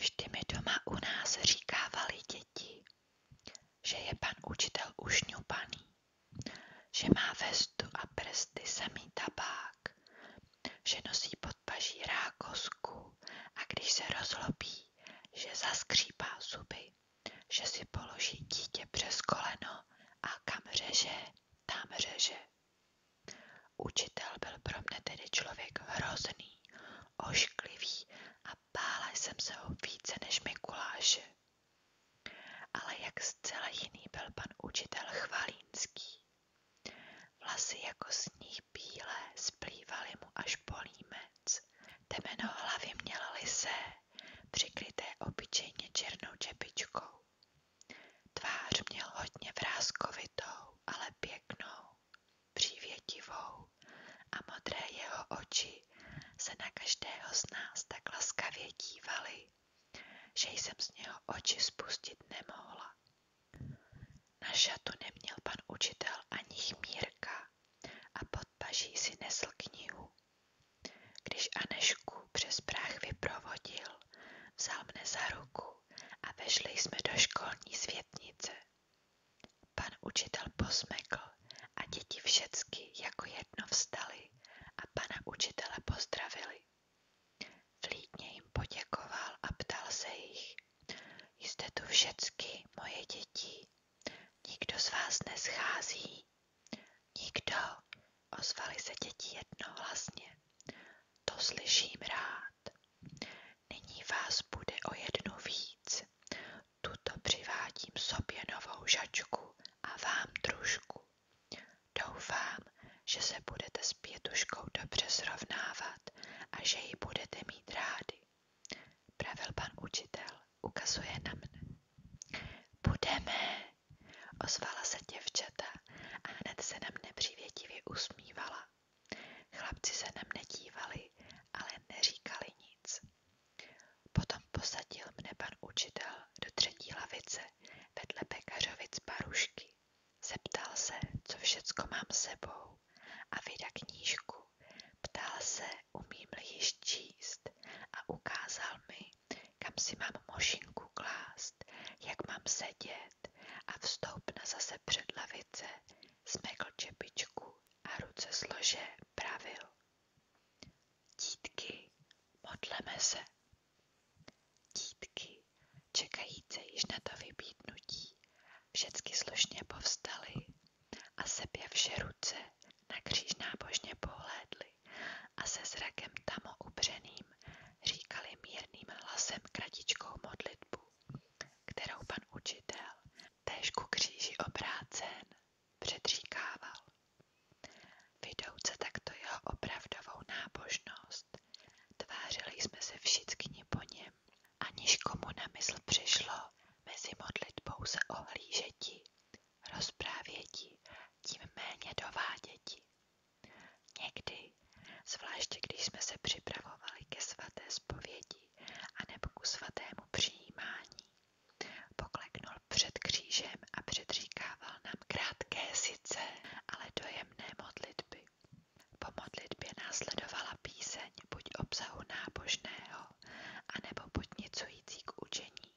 Vždy mi doma u nás říkávali děti, že je pan učitel ušňupaný, že má vestu a prsty samý tabák, že nosí pod paží rákosku a když se rozlobí, že zaskřípá zuby, že si položí dítě přes koleno a kam řeže, tam řeže. Učitel byl pro mne tedy člověk hrozný, ošklivý a bála jsem se ho více než Mikuláše. Ale jak zcela jiný byl pan učitel Chvalínský. Vlasy jako sníh bílé splývaly mu až po límec. Temeno hlavy měl lisé, přikryté obyčejně černou čepičkou. Tvář měl hodně vrázkovitou, ale pěknou pěknou, přívětivou a modré jeho oči se na každého z nás tak laskavě dívaly, že jsem z něho oči spustit nemohla. Na šatu neměl pan učitel ani chmírka a pod paží si nesl knihu. Když Anešku přes práh vyprovodil, vzal mne za ruku a vešli jsme do školní světnice. Pan učitel posmekl a děti všecky jako jedno vstali a pana učitele pozdravili. Vlídně jim poděkoval a ptal se jich. Jste tu všecky, moje děti. Nikdo z vás neschází. Nikdo, ozvali se děti jednohlasně. To slyším rád. Nyní vás bude o jednu víc. Tuto přivádím sobě novou žačku a vám družku. Doufám, že se budete s pětuškou dobře srovnávat a že ji budete mít rádi. Pravil učitel, ukazuje na Budeme, ozvala se děvčata a hned se na mne usmívala. Chlapci se na mne dívali, ale neříkali nic. Potom posadil mne pan učitel do třetí lavice vedle pekařovic Barušky. Zeptal se, co všecko mám sebou a vyda knížku. Ptal se, umím-li již číst a ukázal mi, kam si mám mošinku klást, jak mám sedět, a vstoup na zase před lavice, smekl čepičku a ruce slože pravil. Dítky, modleme se. Dítky, čekajíce již na to vybítnutí, všecky slušně povstaly a seběvše ruce na kříž nábožně pohlédly a se zrakem tamo upřeným zraněním, říkali mírným hlasem kratičkou modlitbu, kterou pan učitel, též ku kříži obrácen, předříkával. Vidouce takto jeho opravdovou nábožnost, tvářili jsme se všichni po něm, aniž komu na mysl přišlo mezi modlitbou se ohlížeti, rozprávěti, tím méně dováděti. Někdy, zvláště když jsme se připravovali ke svaté zpovědi nebo ku svatému přijímání, pokleknul před křížem a předříkával nám krátké sice, ale dojemné modlitby. Po modlitbě následovala píseň buď obsahu nábožného, anebo podnicující k učení,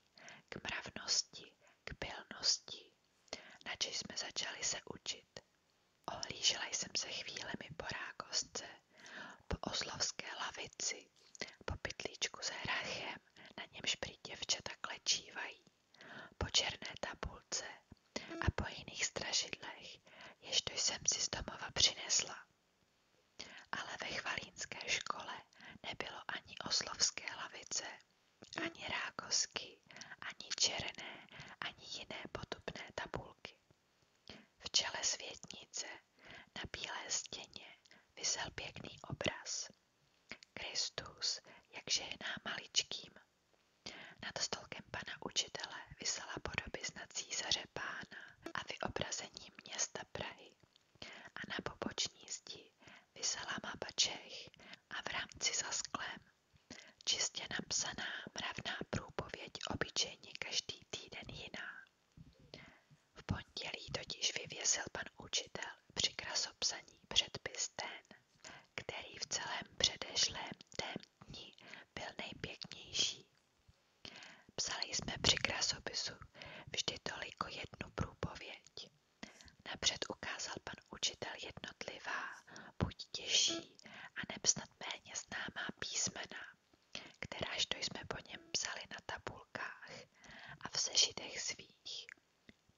k mravnosti, k pilnosti, na jsme začali se učit. Ohlížela jsem se chvílemi po rákostce, po oslovské lavici, po pytlíčku s hrachem, na němž prý děvčata klečívají, po černé tabulce a po jiných strašidlech, jež to jsem si z domova přinesla. Ale ve chvalínské škole nebylo ani oslovské lavice, ani rákosky, ani černé, ani jiné podobné tabulky. V čele světnice na bílé stěně visel pěkný obraz. Kristus, jakže je nám maličkým. Nad stolkem pana učitele visela podobizna císaře pána a vyobrazení města Prahy. A na poboční zdi visela mapa Čech a v rámci za sklem Čistě napsaná mravná průpověď obyčejně každý týden jiná. V pondělí totiž vyvěsil pan učitel při krasopsaní předpis ten, který v celém předešlém tém byl nejpěknější. Psali jsme při krasopisu vždy toliko jednu průpověď. Napřed ukázal pan učitel jednotlivá, buď těžší, a snad méně známá písmena, kteráž to jsme po něm psali na tabulkách a v sešitech svých.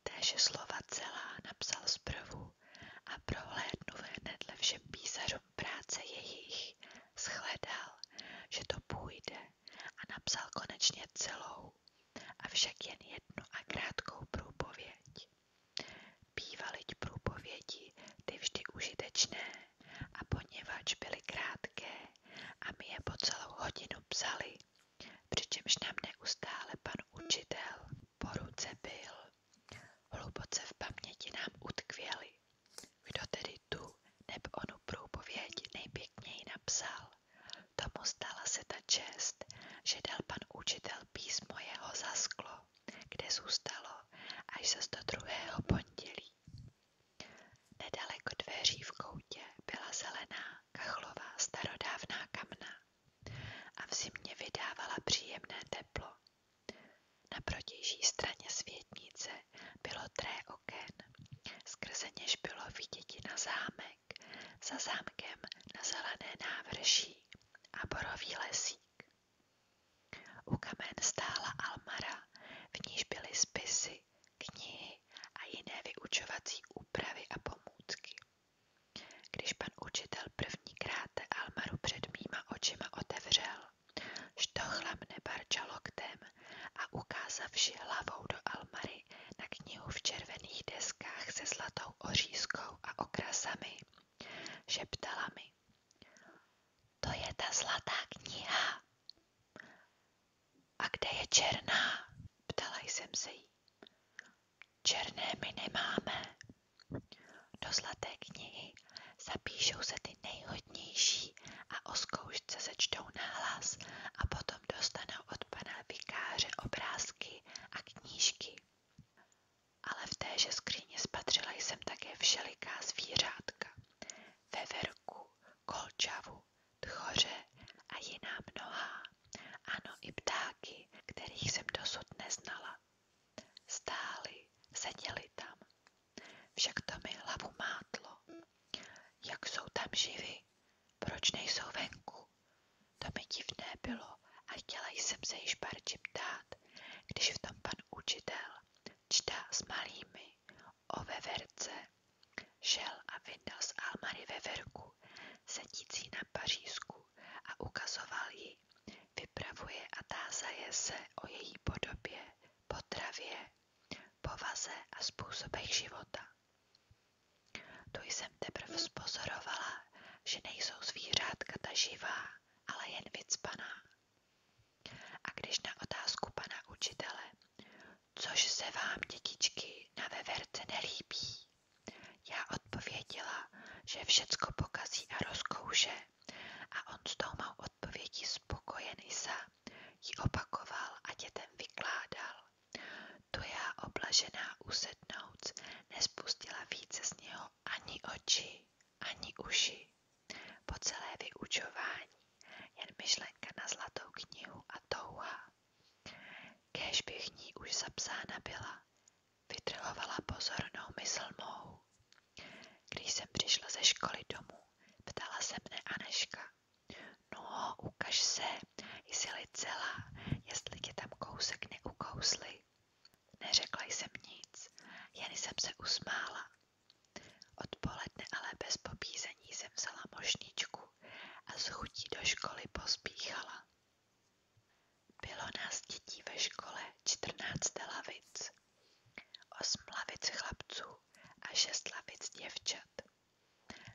Téže slova celá napsal zprvu a prohlédnu hnedle všem písařům práce jejich, shledal, že to půjde a napsal konečně celou, avšak jen jednu a krátkou průpověď. Bývalyť průpovědi ty vždy užitečné a poněvadž byly krátké a my je po celou hodinu psali, přičemž nám neustále pan učitel po ruce byl. Hluboce v paměti nám utkvěli, kdo tedy tu nebo onu průpovědi nejpěkněji napsal, Tomu stala se ta čest, že dal pan učitel písmo jeho zasklo, kde zůstalo až zas do druhého pondělí. Nedaleko dveří v koutě byla zelená, kachlová, starodávná kamna a v zimě vydávala příjemné teplo. Na protější straně světnice bylo tré oken, skrze něž bylo vidět na zámek zámek, za zámkem na zelené návrší a borový lesík. U kamen stála Almara, v níž byly spisy, knihy a jiné vyučovací úpravy a pomůcky. Když pan učitel prvníkrát Almaru před mýma očima otevřel, štochla mne barča loktem a ukázavši hlavou do Almary, na knihu v červených deskách se zlatou ořízkou a okrasami. Šeptala mi. To je ta zlatá kniha. A kde je černá? Ptala jsem se jí. Černé my nemáme. Do zlaté knihy zapíšou se ty nejhodnější a o zkoušce se čtou nahlas a potom potom dostanou od pana vikáře obrázky a knížky. Ale v téže skříně spatřila jsem také všeliká zvířátka. Veverku, kolčavu, tchoře a jiná mnoha. Ano, i ptáky, kterých jsem dosud neznala. Stáli, seděli tam. Však to mi hlavu mátlo. Jak jsou tam živi? Proč nejsou venku? To mi divné bylo a chtěla jsem se již barči ptát, když v tom pan učitel čtá s malými o veverce. Šel a vyndal z Almary veverku, sedící na pařízku a ukazoval ji, vypravuje a tázaje se o její podobě, potravě, povaze a způsobech života. Tu jsem teprve spozorovala, že nejsou zvířátka ta živá, ale jen vycpaná. A když na otázku pana učitele, což se vám, dětičky, na veverce nelíbí, já odpověděla, že všecko pokazí a rozkouše a on s tou mou odpovědí spokojený Isa ji opakoval a dětem vykládal. Tu já oblažená usednouc nespustila více z něho ani oči, ani uši. Po celé vyučování jen myšlenka na zlatou knihu a touha. Kéž bych ní už zapsána byla, vytrhovala pozornou mysl mou. Když jsem přišla ze školy domů, ptala se mne Aneška. No, ukaž se, jsi-li celá, jestli tě tam kousek neukousli. Neřekla jsem nic, jen jsem se usmála. Odpoledne ale bez pobízení jsem vzala mošničku a z chutí do školy pospíchala. Bylo nás dětí ve škole 14 lavic, osm lavic chlapců a šest lavic děvčat.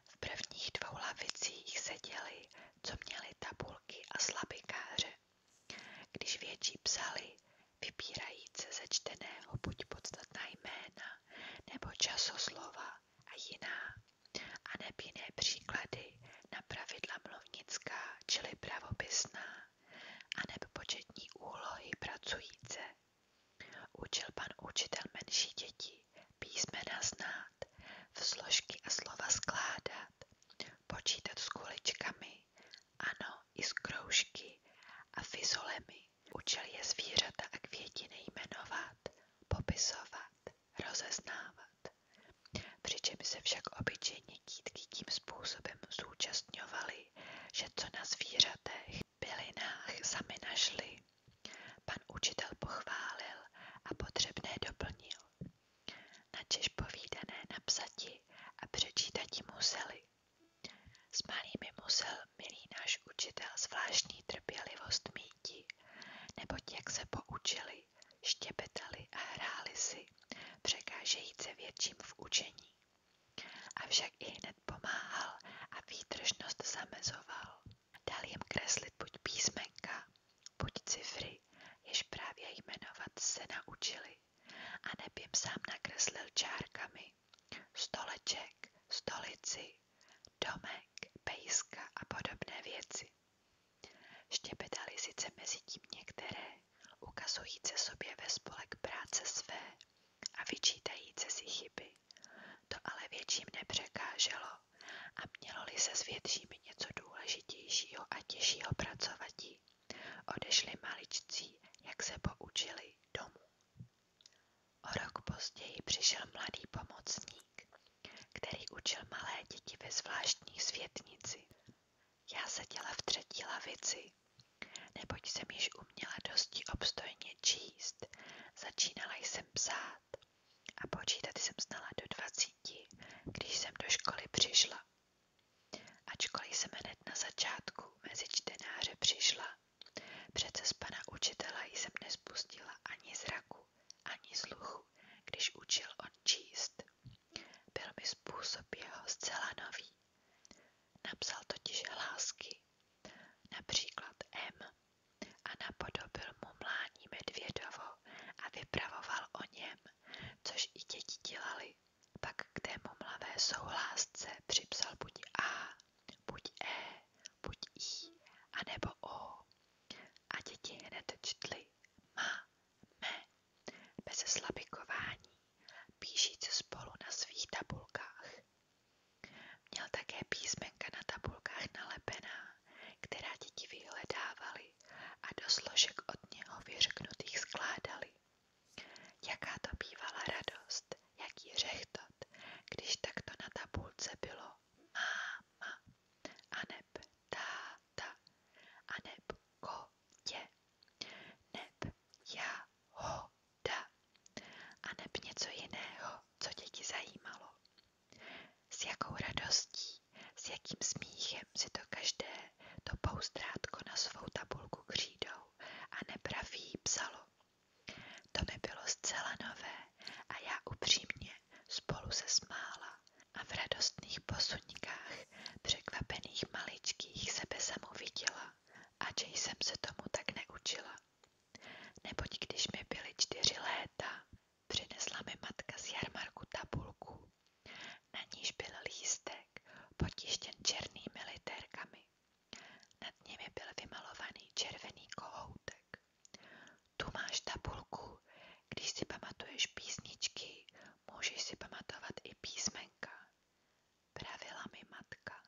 V prvních dvou lavicích seděli, co měli tabulky a slabikáře. Když větší psali, vybírajíce ze čteného buď podstatná jména nebo časoslova a jiná, a neb jiné příklady na pravidla mluvnická, čili pravopisná, a neb početní úlohy pracujíce. Učil pan učitel menší děti, písmena znát, v složky a slova skládat, počítat s kuličkami, ano, i s kroužky a fizolemi. Učil je zvířata a květiny jmenovat, popisovat, rozeznávat. Přičemž se však obyčejně dítky tím způsobem zúčastňovaly, že co na zvířatech, bylinách sami našli, Pan učitel pochválil a potřebné doplnil. Načež povídané napsati a přečítati museli. S malými musel milý náš učitel zvláštní trpělivost míti, neboť jak se poučili, štěpetali a hráli si, překážejíce větším v učení. Avšak i hned pomáhal a výtržnost zamezoval. Dal jim kreslit buď písmenka, buď cifry, jež právě jmenovat se naučili, a neb sám nakreslil čárkami stoleček, stolici, domek, pejska a podobné věci. Štěpetali sice mezi tím některé, ukazujíce sobě ve spolek práce své a vyčítajíce si chyby, to ale větším nepřekáželo a mělo-li se s většími něco důležitějšího a těžšího pracovatí, odešli maličcí, jak se poučili, domů. O rok později přišel mladý pomocník, který učil malé děti ve zvláštní světnici. Já seděla v třetí lavici, neboť jsem již uměla dosti obstojně číst. Začínala jsem psát dělat. A počítat jsem znala do dvacíti, když jsem do školy přišla. Ačkoliv jsem hned na začátku mezi čtenáře přišla, přece z pana učitela jsem nespustila ani zraku, ani sluchu, když učil on číst. Byl mi způsob jeho zcela nový. Napsal totiž hlásky, například M a napodobil mu mlání medvědovo a vypravoval o něm, což i děti dělali. Pak k té mumlavé souhlásce připsal buď A, buď E, buď I, anebo O. A děti hned čtli ma, me, bez slabikování, píšíc spolu na svých tabulkách. Měl také písmenka na tabulkách nalepená, která děti vyhledávali a do složek od něho vyřknutých skládali. Jaká to bývala radost, jaký řechtot, když takto na tabulce bylo máma, aneb táta, aneb kotě, neb jahoda, aneb něco jiného, co děti zajímalo. S jakou radostí, s jakým smíchem si to každé to pouzdrátko na svou tabulku křídou a nepraví psalo. To mi bylo zcela nové a já upřímně spolu se smála a v radostných posuňkách překvapených maličkých sebe samu viděla a že jsem se tomu tak neučila. Neboť když mi byly čtyři léta, přinesla mi matka z jarmarku tabulku, na níž byl lístek potištěn černými literkami. Nad nimi byl vymalovaný červený kohoutek. Tu máš tabulku, když si pamatuješ písničky, můžeš si pamatovat i písmenka, pravila mi matka.